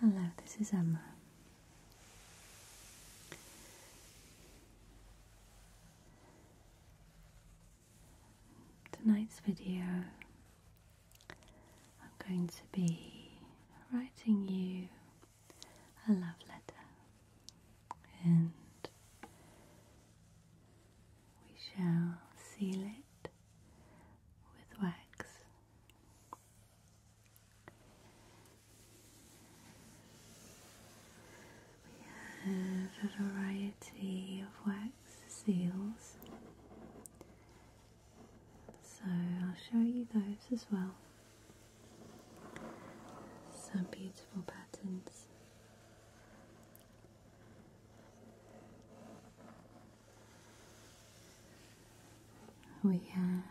Hello, this is Emma. Tonight's video I'm going to be writing you a love letter and we shall seal it with wax. We have a variety of wax seals so I'll show you those as well. Some beautiful patterns. We have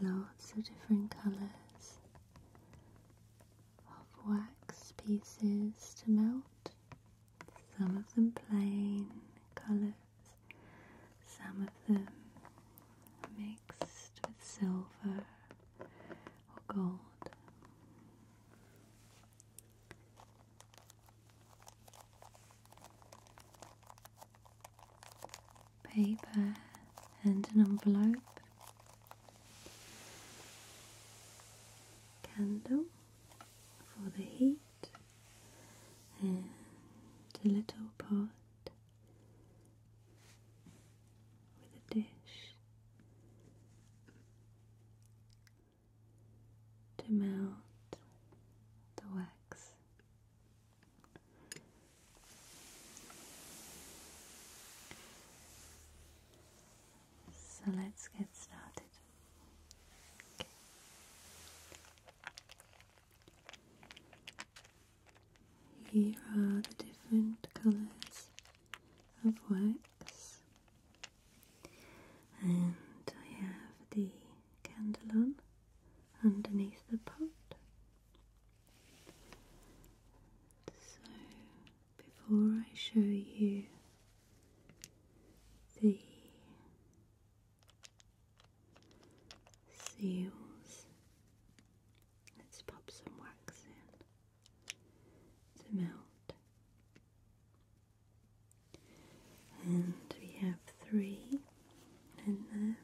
lots of different colours of wax pieces to melt, some of them plain coloured, some of them mixed with silver or gold. Paper and an envelope, candle for the heat, and a little pot with a dish to melt the wax. So let's get started. Here are the different colours of wax, and I have the candle on underneath the pot. So, before I show you the seals. Let's pop some wax in to melt. And we have three in there.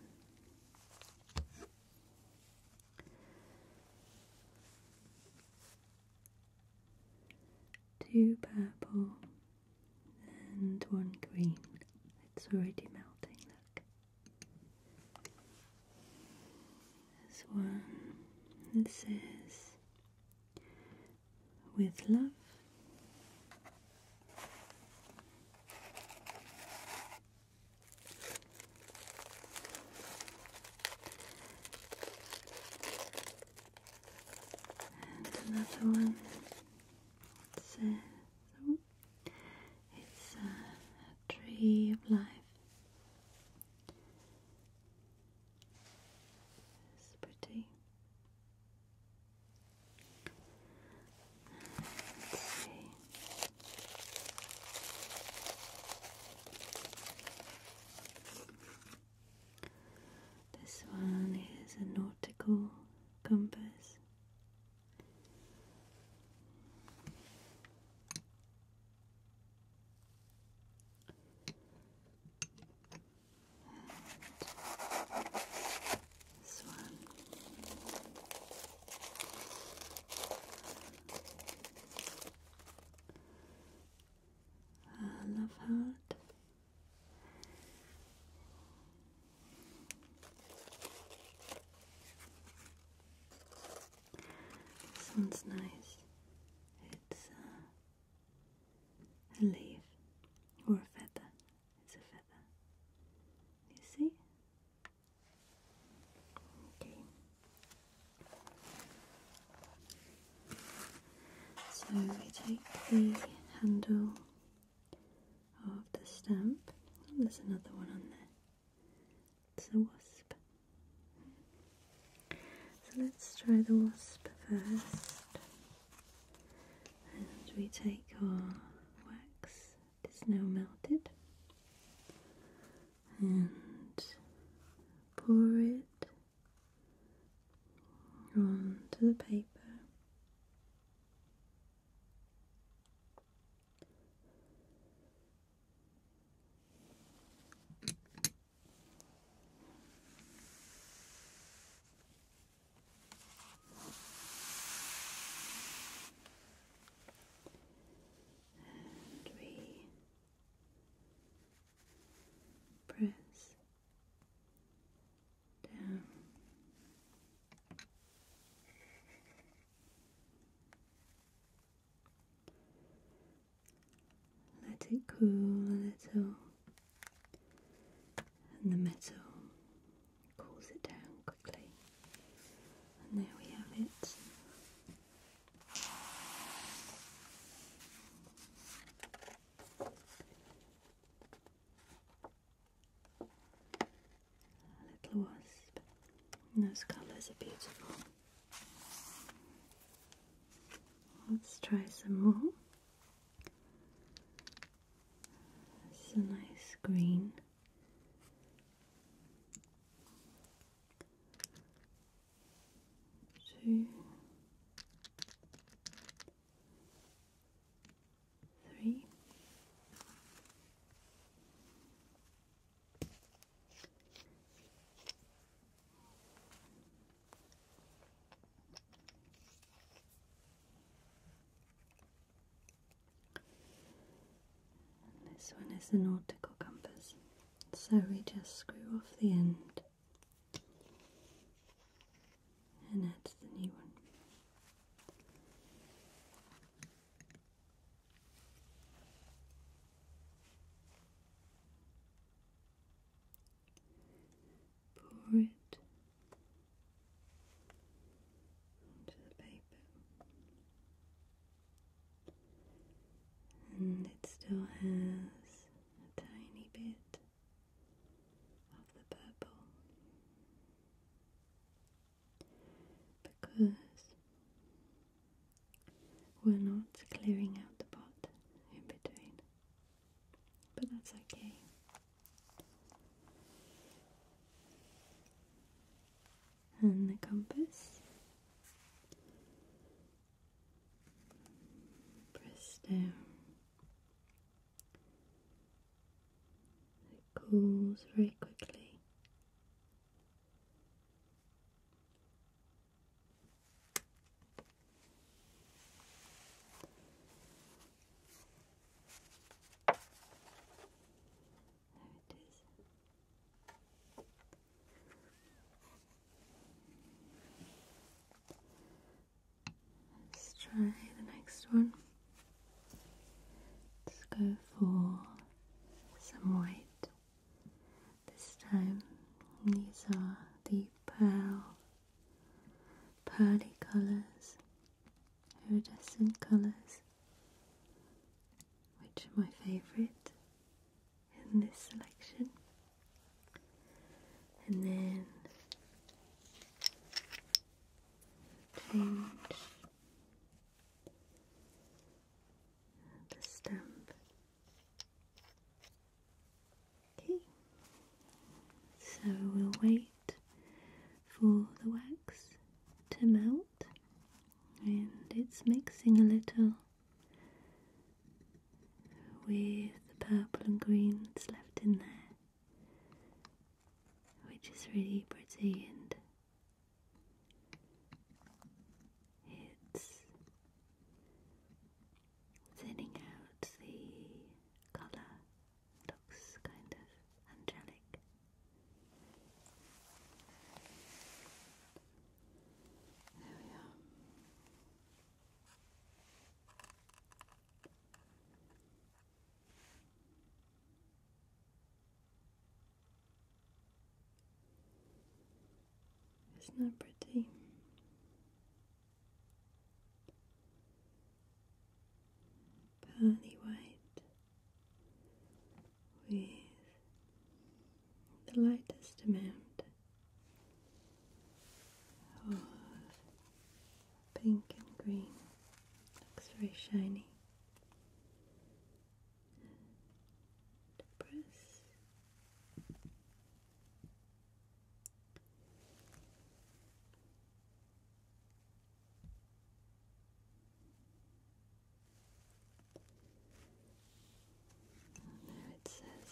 Two purple and one green. It's already melting, look. this one This says, with love. And another one Oh, it's, uh, a tree of life. It's pretty. Let's see. This one is a nautical compass. And this one. A love heart this one's nice. It's uh, a leaf or a feather. It's a feather. You see? Okay. So we take the handle of the stamp. Oh, there's another one on there. It's a wasp. So let's try the wasp first. And we take our wax, it's now melted, and pour it onto the paper. And we press let it cool a little, and the metal cools it down quickly. And there we have it. A little wasp. those colours are beautiful. Let's try some more. This nice green. Two three, this one is the nautical compass, so we just screw off the end and that's the new one. Pour it onto the paper, and it still has a tiny bit of the purple because we're not clearing out the pot in between, but that's okay. And the compass press down it cools very quickly. There it is. Let's try the next one. Let's go for some white this time. These are the pearl, pearly colours, iridescent colours, which are my favourite in this selection. And then change the stamp. Okay, so we'll wait for the wax to melt, and it's mixing a little with the purple and green that's left in there which is really pretty and it's thinning out the colour, looks kind of angelic. There we are. It's not pretty. Pearly white with the lightest amount of pink and green. Looks very shiny. And press. there it says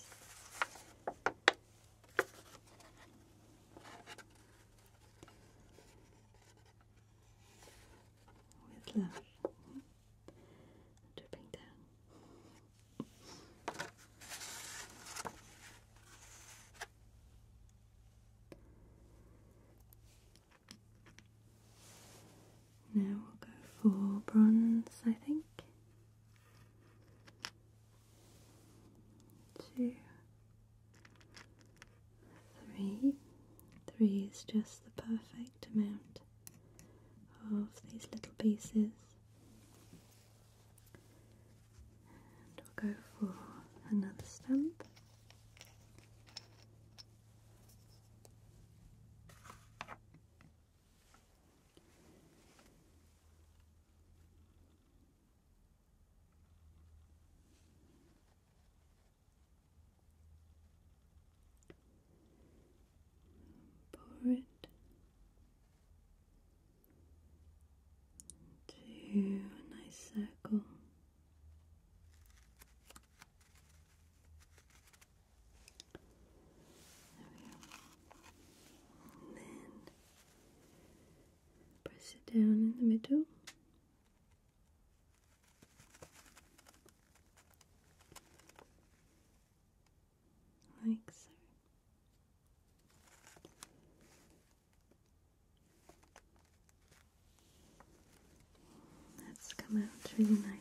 with love dripping down. Now we'll go for bronze, I think two, three. is just the perfect amount of these little pieces. And we'll go for another stump. Pour it into a nice circle. There we go. then press it down in the middle. Like so. That's come out really nice.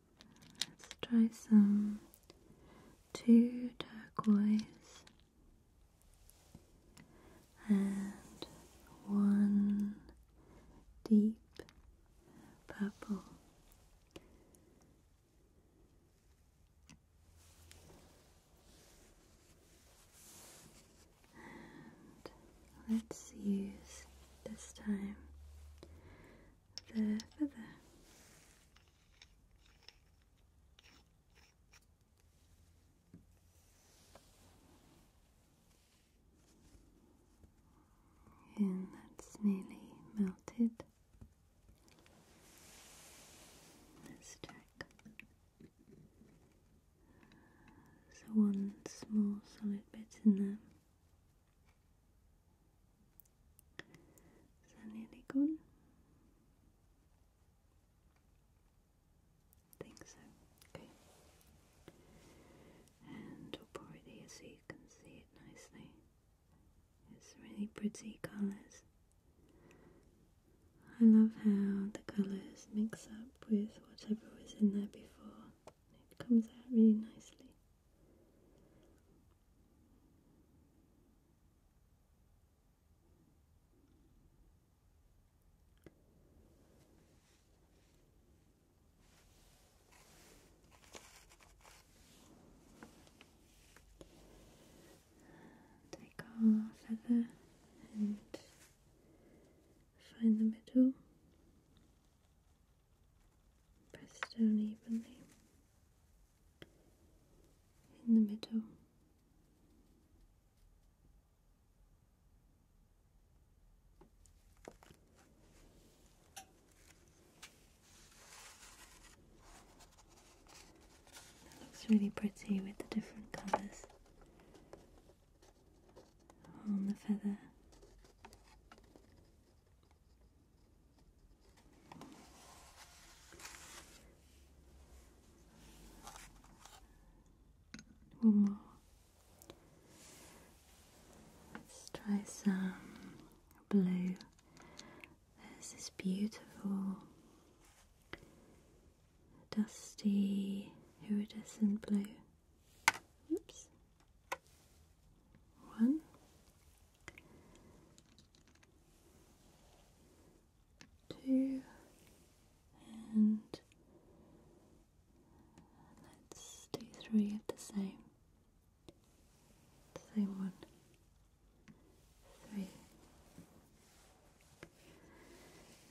Let's try some two turquoise and one deep purple. And let's use this time the feather. And that's nearly melted. Let's check. So one small solid bit in there. Is that nearly gone? I think so. Okay. And I'll pour it here so you can see it nicely. It's really pretty colours. I love how the colours mix up with whatever was in there before. It comes out really nicely. Take our feather and find the middle, press down evenly in the middle. looks really pretty with the different colours on the feather. One more. Let's try some blue. This is beautiful dusty iridescent blue. Oops. One, two, and let's do three of the same same one three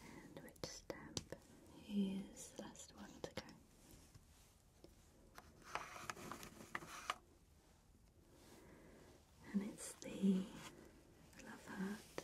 and which step is the last one to go and it's the love heart.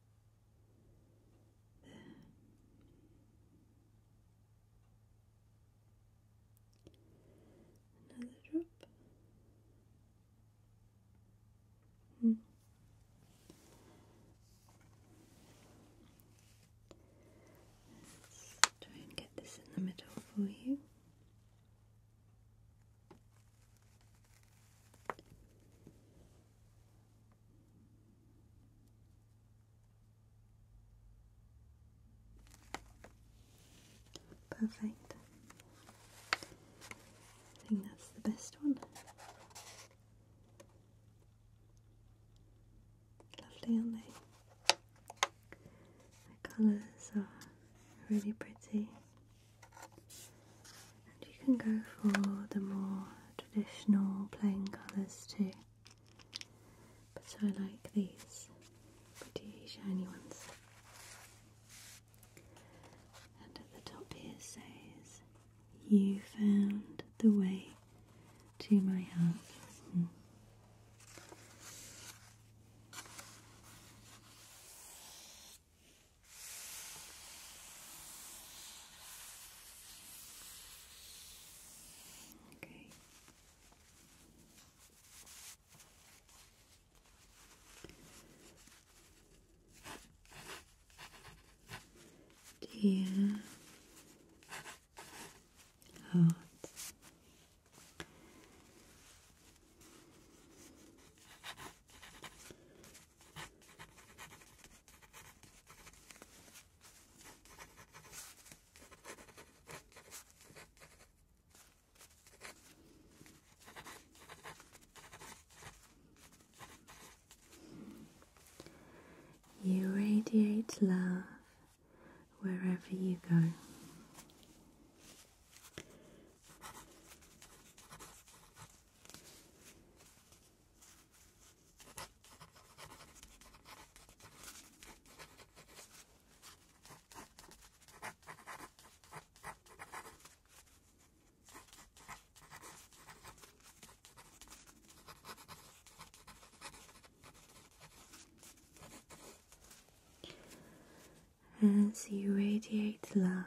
Another drop. Hmm. Let's try and get this in the middle for you. Perfect. I think that's the best one. Lovely, aren't they? The colours are really pretty. And you can go for the more traditional plain colours too. But I like these pretty shiny ones. And at the top here says, You found the way to my heart. Okay. Dear heart, you radiate love wherever you go. As you radiate love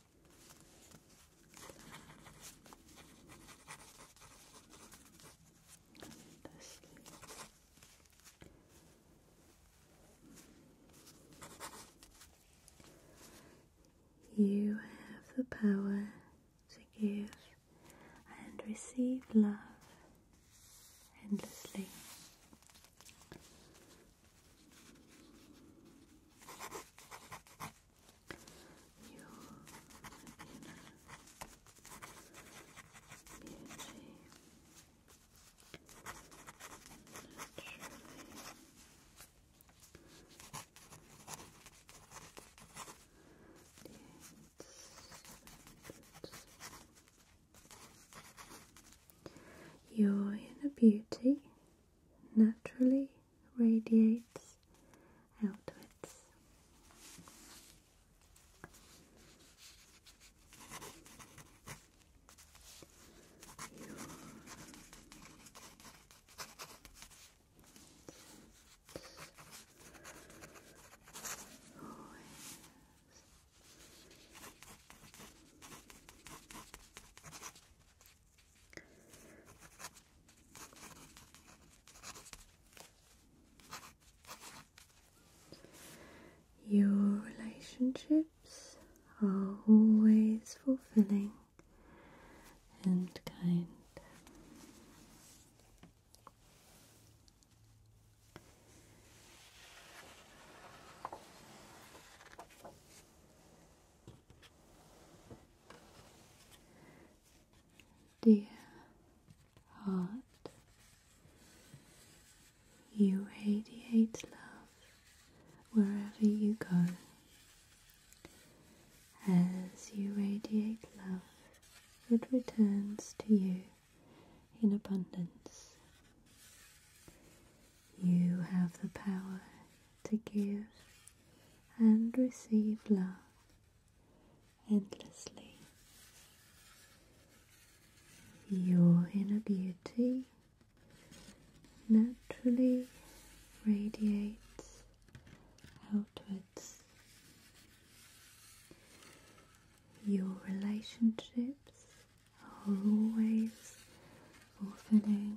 You have the power to give and receive love endlessly your inner beauty naturally your inner beauty naturally radiates outwards. Your relationships are always fulfilling and kind. Dear heart, you radiate love wherever you go. As you radiate love, it returns to you in abundance. You have the power to give and receive love endlessly. Your inner beauty naturally radiates outwards. Your relationships are always fulfilling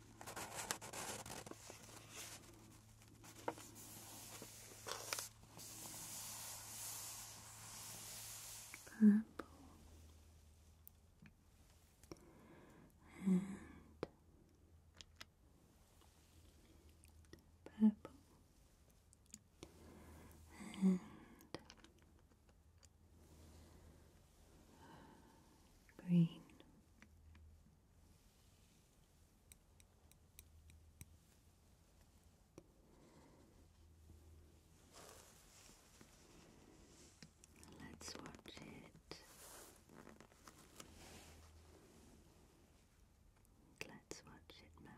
purple and purple and green. Let's watch it. Let's watch it melt.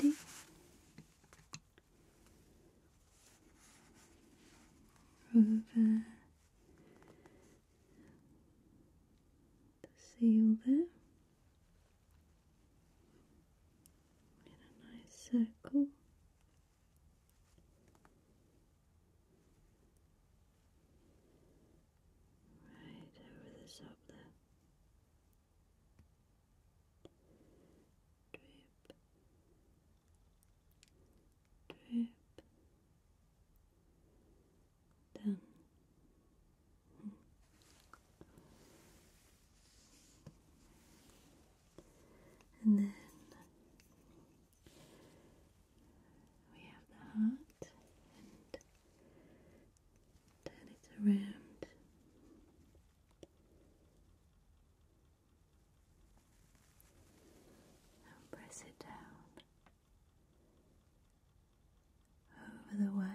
Ready? Over the seal there in a nice circle. Right over the top there. Drip. Drip. Done. Hmm. And then we have the heart turn it around. And press it down over the wax.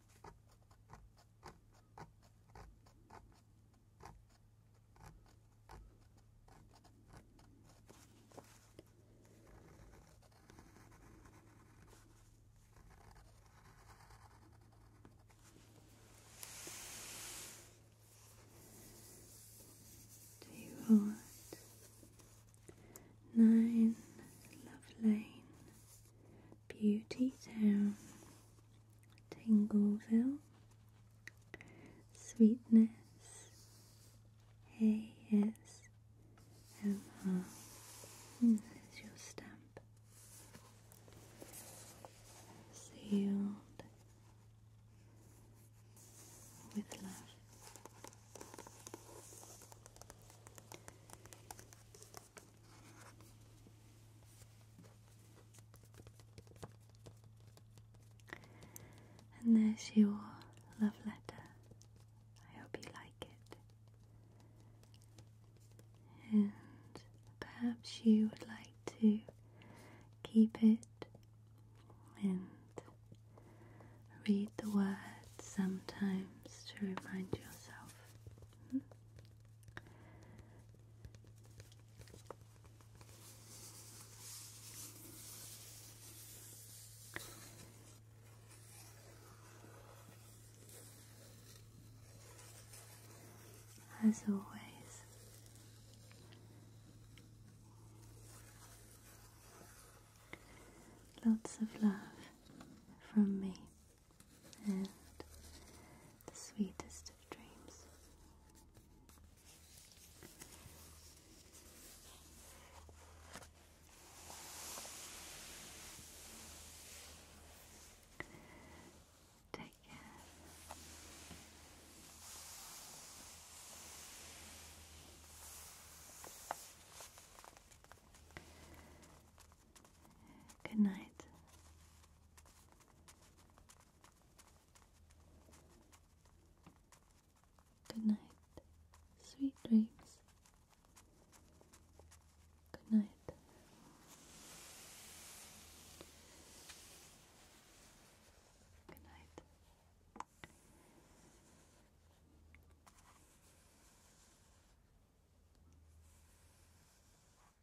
Do nine love lane beauty town Tingleville, Sweetness, A-S-M-R. And hmm, your stamp. Sealed with love. And there's your love letter. I hope you like it. And perhaps you would like to keep it and read the words sometimes to remind yourself. Hmm? As always, lots of love from me and the sweetest of dreams. Take care. Good night. Good night. Sweet dreams. Good night. Good night.